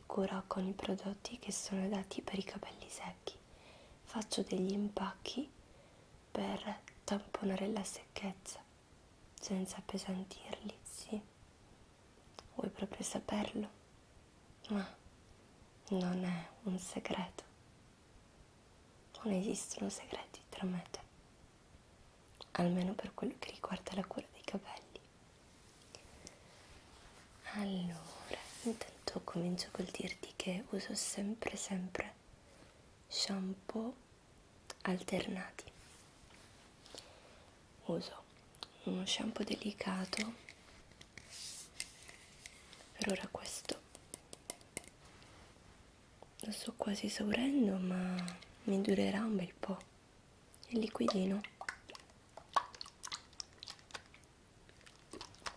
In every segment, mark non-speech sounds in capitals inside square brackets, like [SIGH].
e cura con i prodotti che sono dati per i capelli secchi. Faccio degli impacchi per tamponare la secchezza senza appesantirli, sì. Vuoi proprio saperlo? Ma non è un segreto. Non esistono segreti tra me e te. Almeno per quello che riguarda la cura dei capelli. Allora, intanto comincio col dirti che uso sempre sempre shampoo alternati. Uso uno shampoo delicato, per ora questo lo sto quasi esaurendo ma mi durerà un bel po'. Il liquidino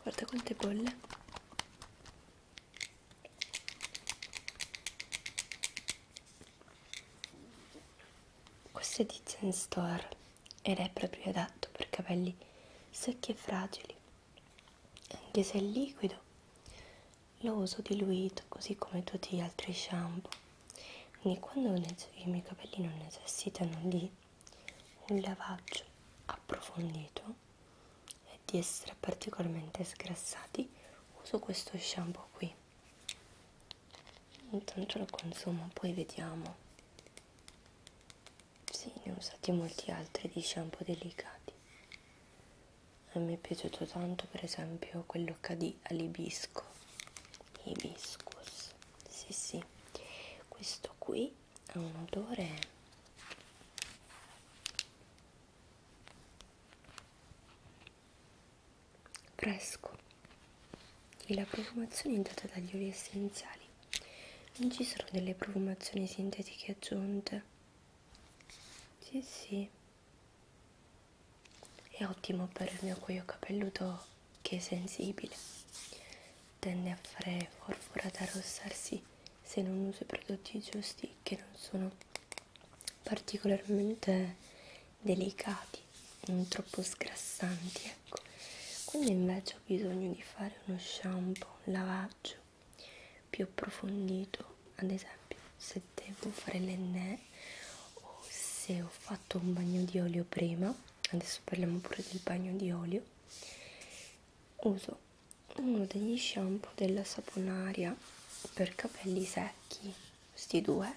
guarda quante bolle questo è di Zen Store ed è proprio adatto per capelli secchi e fragili anche se è liquido lo uso diluito così come tutti gli altri shampoo quindi quando i miei capelli non necessitano di un lavaggio approfondito e di essere particolarmente sgrassati uso questo shampoo qui intanto lo consumo poi vediamo sì ne ho usati molti altri di shampoo delicati e mi è piaciuto tanto per esempio quello che di all'ibisco hibiscus sì, sì, questo qui ha un odore fresco e la profumazione è data dagli oli essenziali, non ci sono delle profumazioni sintetiche aggiunte. Sì, sì, è ottimo per il mio cuoio capelluto che è sensibile, tende a fare forfora ad arrossarsi se non uso i prodotti giusti che non sono particolarmente delicati, non troppo sgrassanti, ecco. Quando invece ho bisogno di fare uno shampoo, un lavaggio più approfondito, ad esempio se devo fare l'enne o se ho fatto un bagno di olio prima adesso parliamo pure del bagno di olio uso uno degli shampoo della saponaria per capelli secchi questi due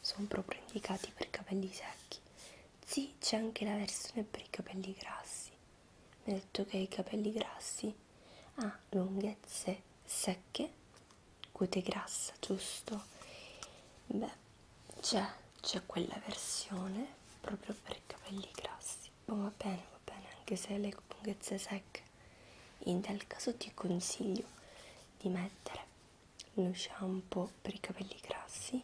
sono proprio indicati per capelli secchi sì c'è anche la versione per i capelli grassi mi ha detto che i capelli grassi ha ah, lunghezze secche cute grassa giusto beh c'è, c'è quella versione proprio per i capelli grassi. Ma va bene, va bene, anche se le lunghezze secche. In tal caso ti consiglio di mettere lo shampoo per i capelli grassi,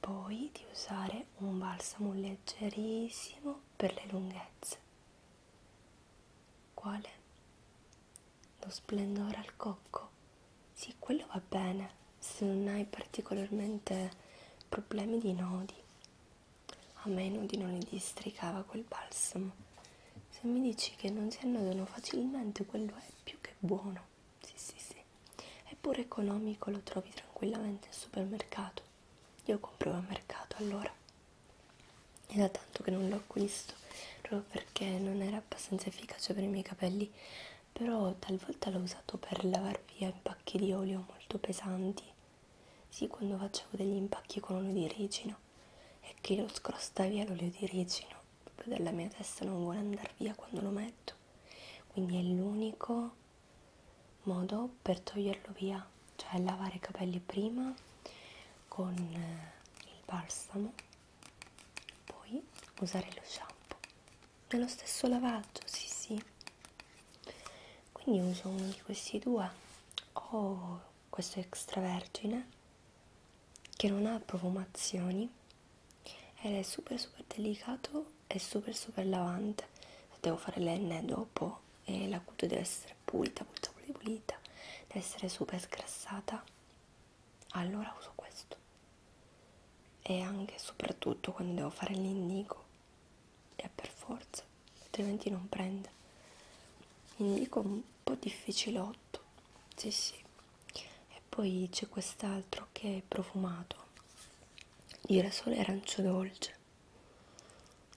poi di usare un balsamo leggerissimo per le lunghezze. Quale? lo splendore al cocco. Sì, quello va bene se non hai particolarmente problemi di nodi. A me i nodi non li districava quel balsamo. Se mi dici che non si annodano facilmente, quello è più che buono. Sì, sì, sì. È pure economico, lo trovi tranquillamente al supermercato. Io compro al mercato allora. È da tanto che non l'ho acquisto, proprio perché non era abbastanza efficace per i miei capelli quindi però talvolta l'ho usato per lavar via impacchi di olio molto pesanti sì quando facevo degli impacchi con olio di ricino e che lo scrosta via l'olio di ricino proprio dalla mia testa non vuole andare via quando lo metto quindi è l'unico modo per toglierlo via cioè lavare i capelli prima con eh, il balsamo poi usare lo shampoo nello stesso lavaggio, sì sì. Quindi uso uno di questi due. Ho oh, questo extravergine che non ha profumazioni ed è super super delicato e super super lavante. Devo fare l'N dopo e la cute deve essere pulita, pulita, pulita, pulita. Deve essere super sgrassata allora uso questo e anche e soprattutto quando devo fare l'indico è per forza altrimenti non prende indico un po' difficilotto sì sì e poi c'è quest'altro che è profumato girasole arancio dolce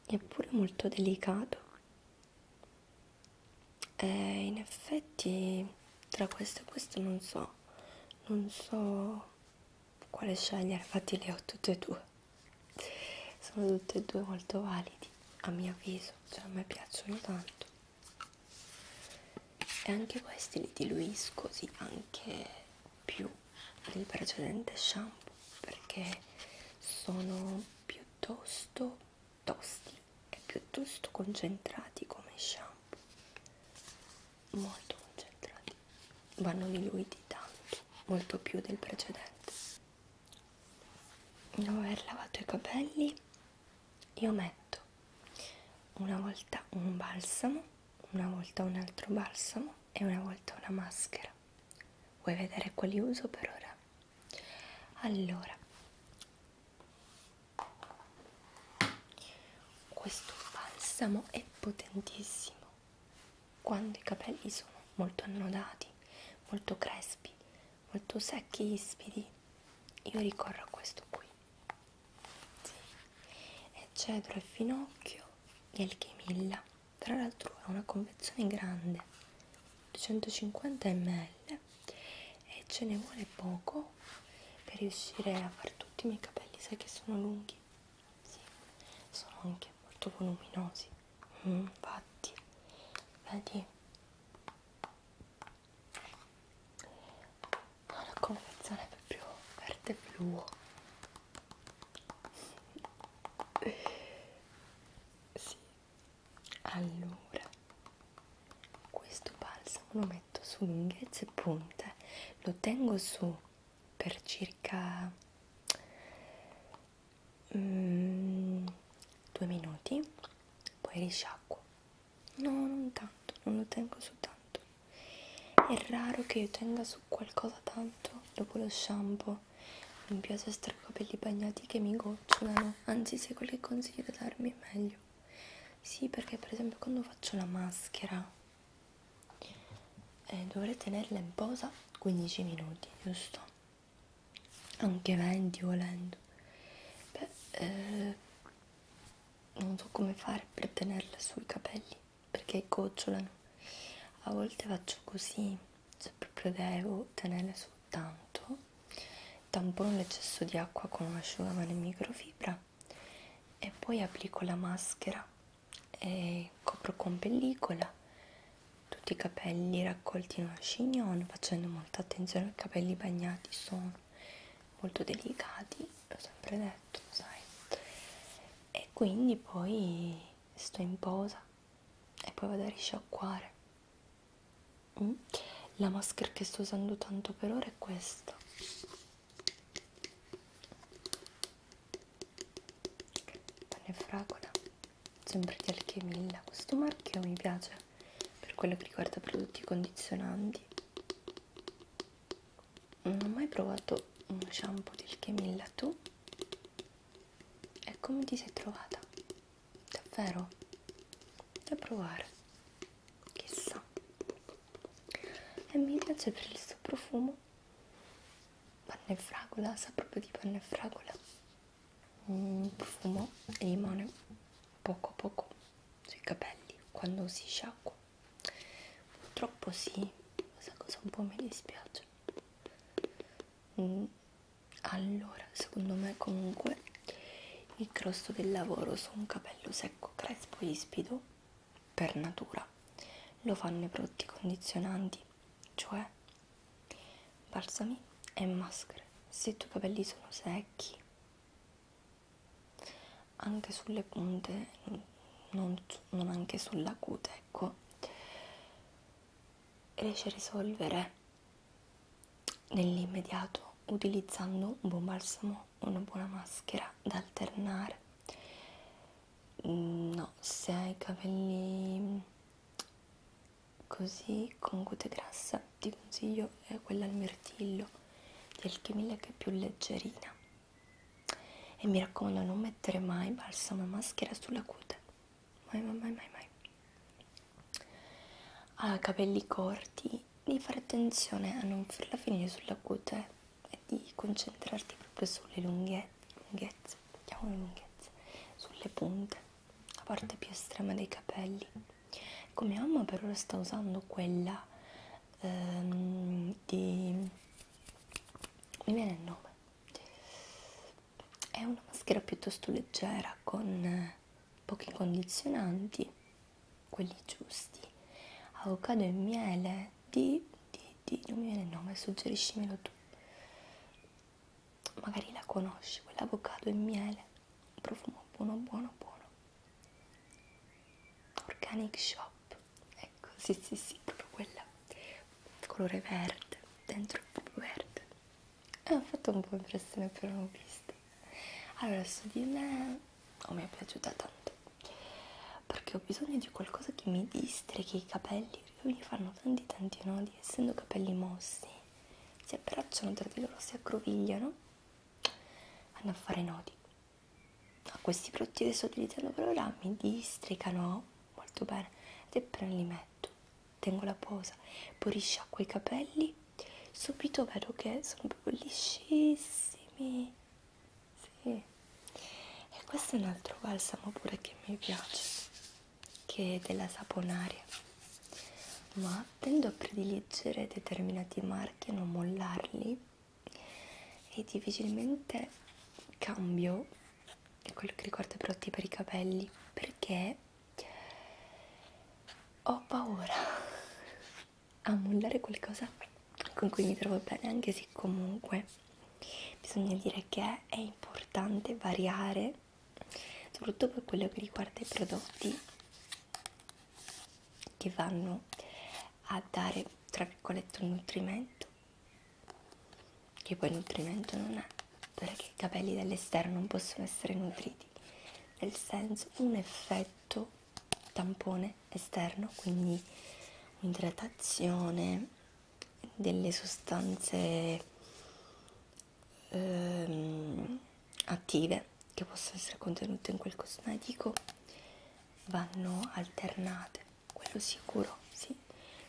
eppure molto delicato eh, in effetti tra questo e questo non so non so quale scegliere infatti le ho tutte e due sono tutte e due molto validi a mio avviso cioè a me piacciono tanto e anche questi li diluisco così anche più del precedente shampoo perché sono piuttosto tosti e piuttosto concentrati come shampoo molto concentrati vanno diluiti tanto molto più del precedente dopo aver lavato i capelli io metto una volta un balsamo una volta un altro balsamo e una volta una maschera vuoi vedere quali uso per ora allora questo balsamo è potentissimo quando i capelli sono molto annodati, molto crespi, molto secchi, ispidi. Io ricorro a questo qui. Sì. È cedro e finocchio di Alchimilla. Tra l'altro è una confezione grande, 250 ml colore e ce ne vuole poco per riuscire a fare tutti i miei capelli, sai che sono lunghi, sì, sono anche molto voluminosi, mm, infatti, vedi, ho ah, la confezione proprio verde blu. Sì, allora, questo balsamo lo metto su lunghezze e punte, lo tengo su per circa mm, due minuti, poi risciacquo. No, non tanto, non lo tengo su tanto. È raro che io tenga su qualcosa tanto dopo lo shampoo. Mi piace stare i capelli bagnati che mi gocciolano no, anzi se quello che consiglio da darmi è meglio. Sì, perché per esempio quando faccio la maschera eh, dovrei tenerla in posa 15 minuti, giusto? Anche 20 volendo. Beh, eh, non so come fare per tenerla sui capelli perché gocciolano. A volte faccio così, se proprio devo tenerla soltanto tampono l'eccesso di acqua con un asciugamano in microfibra e poi applico la maschera e copro con pellicola tutti i capelli raccolti in una chignon facendo molta attenzione ai capelli bagnati sono molto delicati l'ho sempre detto sai e quindi poi sto in posa e poi vado a risciacquare Mm. La maschera che sto usando tanto per ora è questa. Pane fragola, sempre di alchemilla. Questo marchio mi piace per quello che riguarda prodotti condizionanti. Non ho mai provato uno shampoo di alchemilla tu. E ecco, come ti sei trovata? davvero da provare chissà e mi piace per il suo profumo panna e fragola sa proprio di panna e fragola mm, profumo e limone poco poco sui capelli quando si sciacqua purtroppo sì questa cosa un po' mi dispiace mm, allora secondo me comunque il grosso del lavoro su un capello secco crespo e ispido per natura lo fanno i prodotti condizionanti cioè balsami e maschere se i tuoi capelli sono secchi anche sulle punte non, non anche sulla cute ecco riesce a risolvere nell'immediato utilizzando un buon balsamo una buona maschera da alternare mm, no se hai i capelli così con cute grassa ti consiglio eh, quella al mirtillo di alchimilla che è più leggerina e mi raccomando non mettere mai balsamo e maschera sulla cute mai mai mai mai mai ha capelli corti di fare attenzione a non farla finire sulla cute eh, e di concentrarti proprio sulle lunghezze, lunghezze, lunghezze sulle punte la parte più estrema dei capelli come mamma per ora sta usando quella ehm, di mi viene il nome è una maschera piuttosto leggera con eh, pochi condizionanti, quelli giusti, avocado e miele di, di, di non mi viene il nome, suggeriscimelo tu. Magari la conosci, quell'avocado e miele, un profumo buono, buono, buono. Organic Shop, ecco, sì, sì, sì, proprio quella, colore verde, dentro proprio verde, e eh, ha fatto un po' impressione però l'ho vista allora su di me oh, mi è piaciuta tanto perché ho bisogno di qualcosa che mi distreghi i capelli perché mi fanno tanti tanti nodi essendo capelli mossi si abbracciano tra di loro si aggrovigliano vanno a fare nodi a questi prodotti che sto utilizzando per ora mi districano molto bene ed è per li metto tengo la posa, poi risciacquo i capelli, subito vedo che sono proprio liscissimi. Sì. E questo è un altro balsamo pure che mi piace, che è della saponaria. Ma tendo a prediligere determinati marchi, a non mollarli e difficilmente cambio quello che ricordo i prodotti per i capelli perché ho paura [LAUGHS] a mollare qualcosa con cui mi trovo bene, anche se comunque bisogna dire che è importante variare, soprattutto per quello che riguarda i prodotti che vanno a dare, tra virgolette, un nutrimento, che poi nutrimento non è perché i capelli dall'esterno non possono essere nutriti nel senso un effetto tampone esterno quindi un'idratazione delle sostanze ehm, attive che possono essere contenute in quel cosmetico vanno alternate quello sicuro sì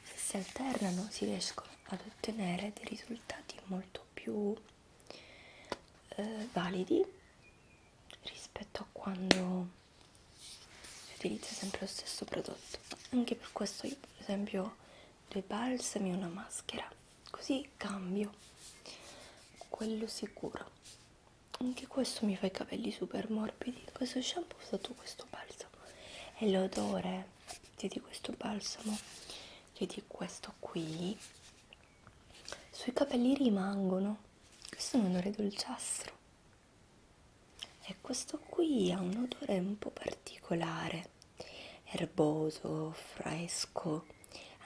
se si alternano si riescono ad ottenere dei risultati molto molto più eh, validi rispetto a quando si utilizza sempre lo stesso prodotto anche per questo io per esempio due balsami e una maschera così cambio quello sicuro anche questo mi fa i capelli super morbidi questo shampoo ho usato questo balsamo e l'odore di questo balsamo vedi cioè, questo qui sui capelli rimangono questo è un odore dolciastro e questo qui ha un odore un po' particolare erboso fresco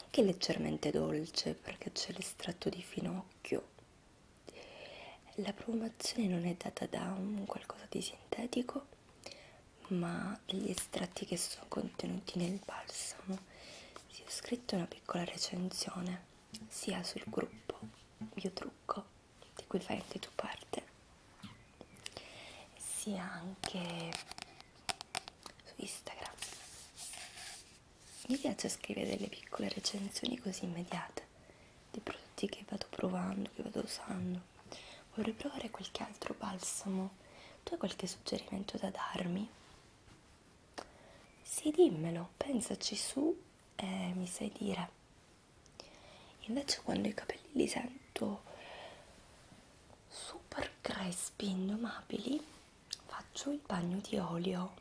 anche leggermente dolce perché c'è l'estratto di finocchio la profumazione non è data da un qualcosa di sintetico ma degli estratti che sono contenuti nel balsamo, si ho scritto una piccola recensione sia sul gruppo Mio Trucco, di cui fai anche tu parte, sia anche su Instagram. Mi piace scrivere delle piccole recensioni così immediate di prodotti che vado provando, che vado usando vorrei provare qualche altro balsamo. Tu hai qualche suggerimento da darmi? Sì, dimmelo, pensaci su e mi sai dire. Invece quando i capelli li sento super crespi, indomabili, faccio il bagno di olio.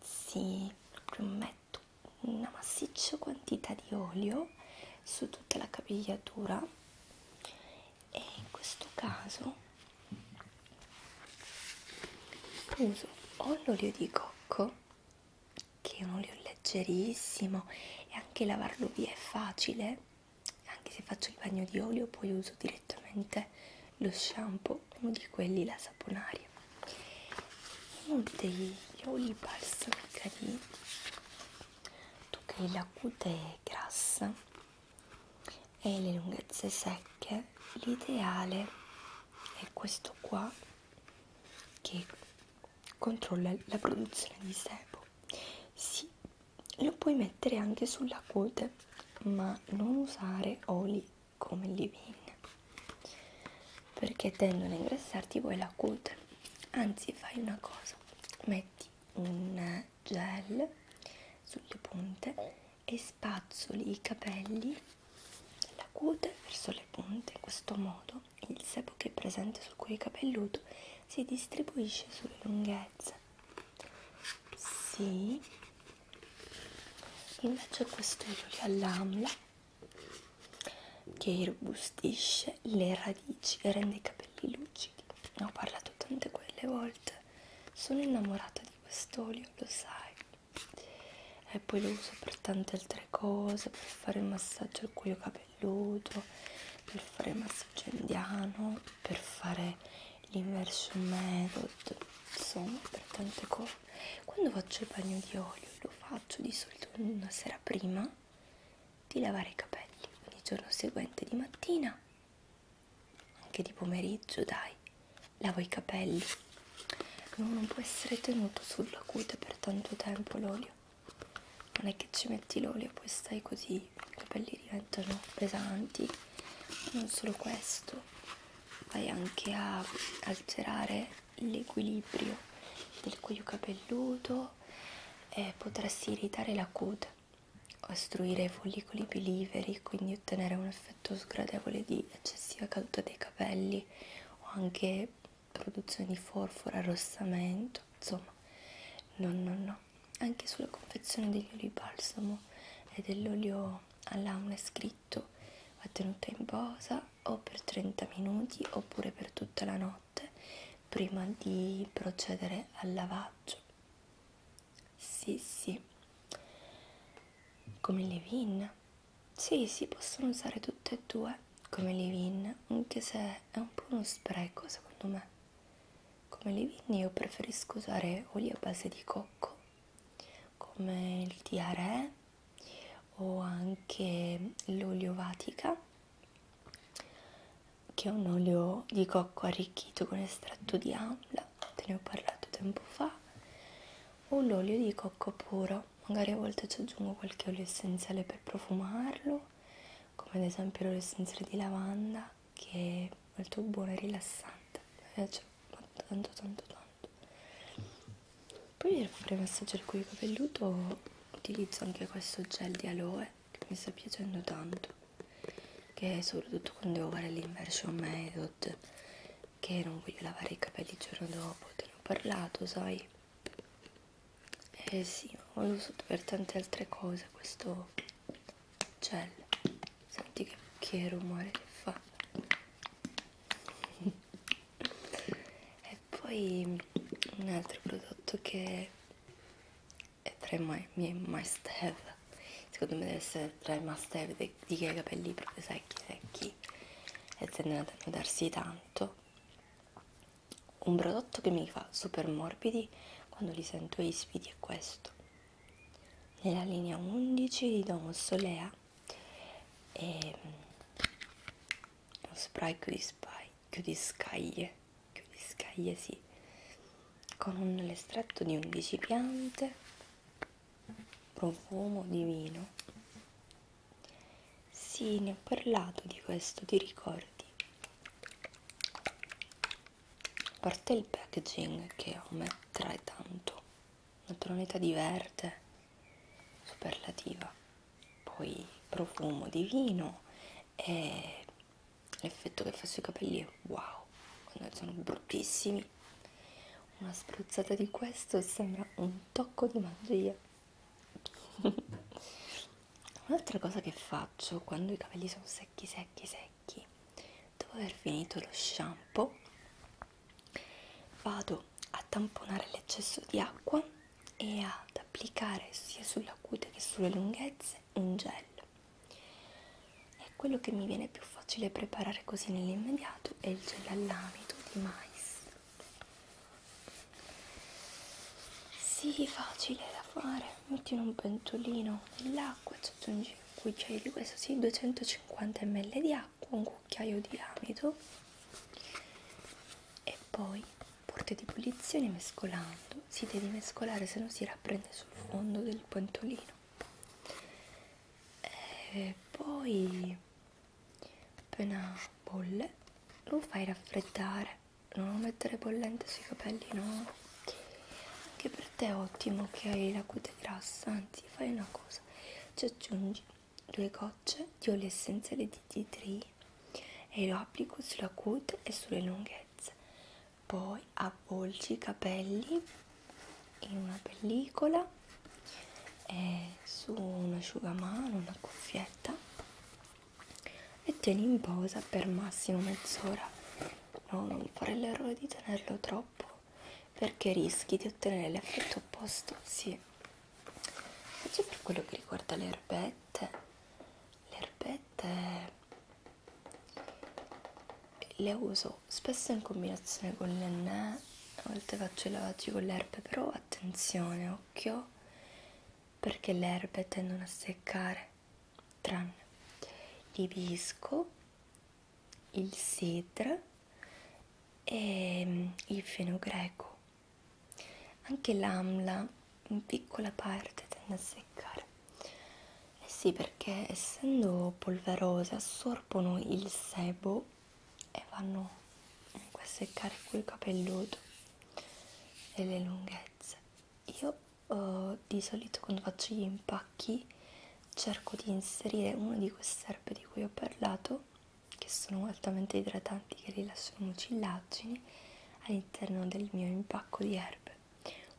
Sì, proprio metto una massiccia quantità di olio su tutta la capigliatura e in questo caso uso o l'olio di cocco che è un olio leggerissimo e anche lavarlo via è facile anche se faccio il bagno di olio poi uso direttamente lo shampoo uno di quelli la saponaria uno degli oli balsamica di tu che hai la cute grassa e le lunghezze secche, l'ideale è questo qua che controlla la produzione di sebo. Sì, lo puoi mettere anche sulla cute, ma non usare oli come leave-in perché tendono a ingrassarti poi la cute. Anzi, fai una cosa: metti un gel sulle punte e spazzoli i capelli dalla cute verso le punte in questo modo il sebo che è presente sul cuoio capelluto si distribuisce sulle lunghezze sì invece questo è l'olio all'amla che irrobustisce le radici e rende i capelli lucidi. Ne ho parlato tante quelle volte. Sono innamorata di quest'olio, lo sai. E poi lo uso per tante altre cose, per fare il massaggio al cuoio capelluto, per fare il massaggio indiano, per fare l'inversion method, insomma per tante cose. Quando faccio il bagno di olio lo faccio di solito una sera prima di lavare i capelli il giorno seguente di mattina anche di pomeriggio dai lavo i capelli no, non può essere tenuto sulla cute per tanto tempo l'olio non è che ci metti l'olio poi stai così i capelli diventano pesanti non solo questo vai anche a alterare l'equilibrio del cuoio capelluto tempo eh, potresti irritare la cute, ostruire i follicoli più liberi, quindi ottenere un effetto sgradevole di eccessiva caduta dei capelli o anche produzione di forfora, arrossamento, insomma, no, no, no. Anche sulla confezione degli oli balsamo e dell'olio all'aula è scritto va tenuta in posa o per 30 minuti oppure per tutta la notte notte prima di procedere al lavaggio. Sì, sì, come leave-in. Sì, si possono usare tutte e due come leave-in, anche se è un po' uno spreco secondo me. Come leave-in io preferisco usare olio a base di cocco, come il tiare o anche l'olio vatica che è un olio di cocco arricchito con estratto di amla, te ne ho parlato tempo fa, o l'olio di cocco puro, magari a volte ci aggiungo qualche olio essenziale per profumarlo, come ad esempio l'olio essenziale di lavanda che è molto buono e rilassante, mi piace tanto tanto tanto. Poi per fare massaggio al cuoio capelluto utilizzo anche questo gel di aloe che mi sta piacendo tanto che è soprattutto quando devo fare l'inversion method che non voglio lavare i capelli il giorno dopo te ne ho parlato sai eh sì ma lo uso per tante altre cose questo gel senti che, che rumore che fa [LAUGHS] e poi un altro prodotto che è tra i miei, miei must have secondo me deve essere tra i must have di, di chi ha i capelli proprio secchi secchi e tendono a nudarsi tanto un prodotto che mi fa super morbidi quando li sento ispidi è questo nella linea 11 di Don Solea e ehm, lo spray qui di spy chiudi scaglie, chiudi scaglie sì, con un l'estratto di 11 piante, profumo divino. Sì, ne ho parlato di questo, ti ricordi? A parte il packaging che a me trae tanto, una tonalità di verde superlativa poi profumo divino e l'effetto che fa sui capelli wow quando sono bruttissimi una spruzzata di questo sembra un tocco di magia [LAUGHS] un'altra cosa che faccio quando i capelli sono secchi secchi secchi dopo aver finito lo shampoo vado a tamponare l'eccesso di acqua e ad applicare sia sulla cute che sulle lunghezze un gel. E quello che mi viene più facile preparare così nell'immediato è il gel all'amido di mais. Sì, facile da fare. Metti in un pentolino dell'acqua, ci aggiungi un cucchiaio di questo, sì, 250 ml di acqua, un cucchiaio di amido e poi porte di posizione mescolando si deve mescolare se no si rapprende sul fondo del pentolino e eh, poi appena bolle lo fai raffreddare non lo mettere bollente sui capelli no anche per te è ottimo che hai la cute grassa anzi fai una cosa ci aggiungi due gocce di olio essenziale di tea tree e lo applico sulla cute e sulle lunghezze poi avvolgi i capelli in una pellicola e su un asciugamano una cuffietta e tieni in posa per massimo mezz'ora no, non fare l'errore di tenerlo troppo perché rischi di ottenere l'effetto opposto sì invece per quello che riguarda le erbette le erbette le uso spesso in combinazione con l'ennè a volte faccio i lavaggi con le erbe però attenzione occhio perché le erbe tendono a seccare tranne l'ibisco il sidra e mm, il feno greco anche l'amla in piccola parte tende a seccare. Eh sì, perché essendo polverose assorbono il sebo e vanno a seccare quel capelluto e le lunghezze. Io eh, di solito quando faccio gli impacchi cerco di inserire una di queste erbe di cui ho parlato che sono altamente idratanti che rilasciano mucillaggini all'interno del mio impacco di erbe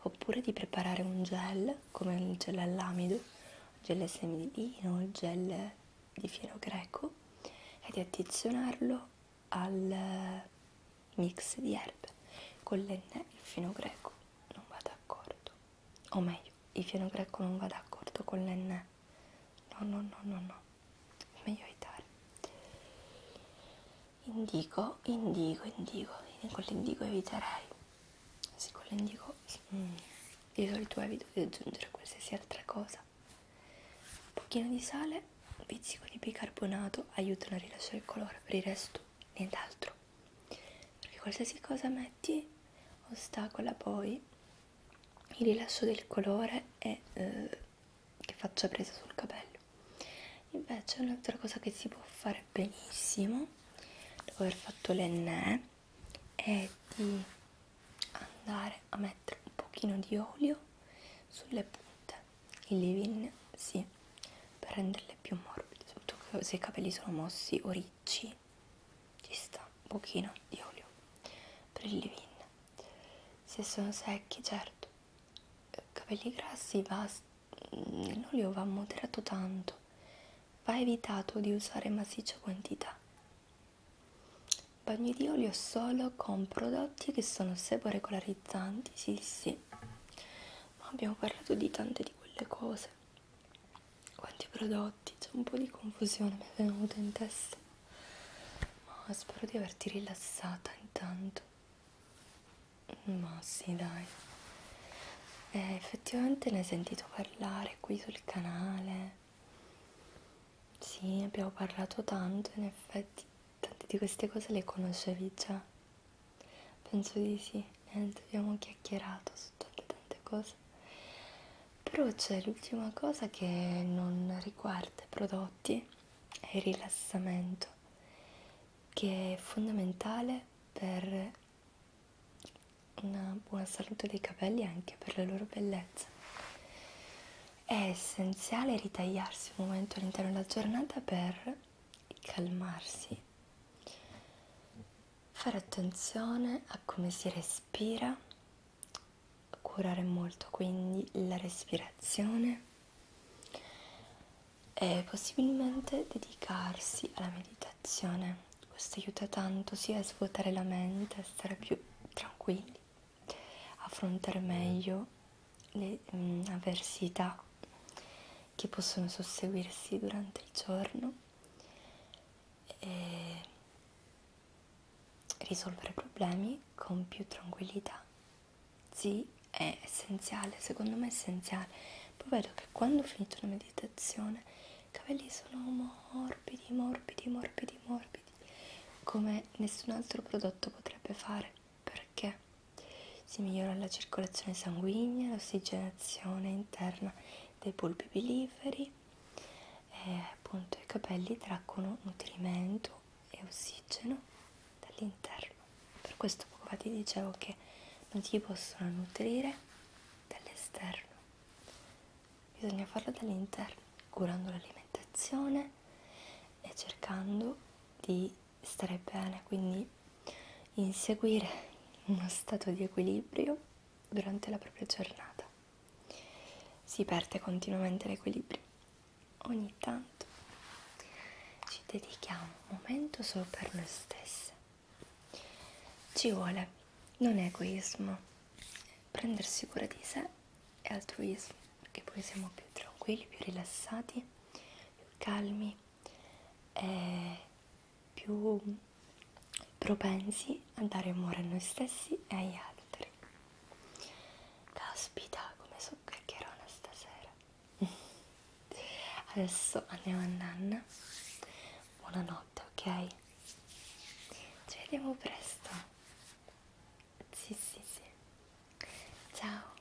oppure di preparare un gel come il gel all'amido, il gel ai semi di lino, il gel di fieno greco e di addizionarlo al mix di erbe con l'enne e il fieno greco non va d'accordo o meglio il fieno greco non va d'accordo con l'enne no no no no no è meglio evitare indigo indigo indigo con l'indigo eviterei sì con l'indigo mm, di solito evito di aggiungere qualsiasi altra cosa un pochino di sale un pizzico di bicarbonato aiutano a rilasciare il colore per il resto nient'altro perché qualsiasi cosa metti ostacola poi il rilascio del colore e eh, che faccia presa sul capello invece un'altra cosa che si può fare benissimo dopo aver fatto l'enne è di andare a mettere un pochino di olio sulle punte il leave-in sì, per renderle più morbide soprattutto se i capelli sono mossi o ricci ci sta un pochino di olio per il leave-in se sono secchi certo capelli grassi va l'olio va moderato tanto va evitato di usare massiccia quantità bagni di olio solo con prodotti che sono seporegolarizzanti sì sì ma abbiamo parlato di tante di quelle cose quanti prodotti c'è un po' di confusione mi è venuta in testa ma spero di averti rilassata intanto. Ma sì, dai. Eh, effettivamente ne hai sentito parlare qui sul canale. Sì, abbiamo parlato tanto, in effetti tante di queste cose le conoscevi già. Penso di sì, niente, abbiamo chiacchierato su tante tante cose però c'è l'ultima cosa che non riguarda i prodotti è il rilassamento che è fondamentale per una buona salute dei capelli e anche per la loro bellezza è essenziale ritagliarsi un momento all'interno della giornata per calmarsi fare attenzione a come si respira curare molto quindi la respirazione e possibilmente dedicarsi alla meditazione. Questo aiuta tanto sia a svuotare la mente, a stare più tranquilli, affrontare meglio le mh, mm, avversità che possono susseguirsi durante il giorno e risolvere problemi con più tranquillità. Sì, è essenziale, secondo me è essenziale. Poi vedo che quando ho finito la meditazione i capelli sono morbidi, morbidi, morbidi, morbidi, come nessun altro prodotto potrebbe fare, perché si migliora la circolazione sanguigna, l'ossigenazione interna dei polpi piliferi, e appunto i capelli traggono nutrimento e ossigeno dall'interno per questo poco fa ti dicevo che non si possono nutrire dall'esterno bisogna farlo dall'interno curando l'alimentazione e cercando di stare bene quindi inseguire uno stato di equilibrio durante la propria giornata si perde continuamente l'equilibrio. Ogni tanto ci dedichiamo un momento solo per noi stesse. Ci vuole non egoismo, prendersi cura di sé e altruismo, perché poi siamo più tranquilli, più rilassati, più calmi e più propensi a dare amore a noi stessi e agli altri. Caspita, come so chiacchierona stasera. Adesso andiamo a nanna. Buonanotte, ok? Ci vediamo presto. Sì, sì, sì. Ciao.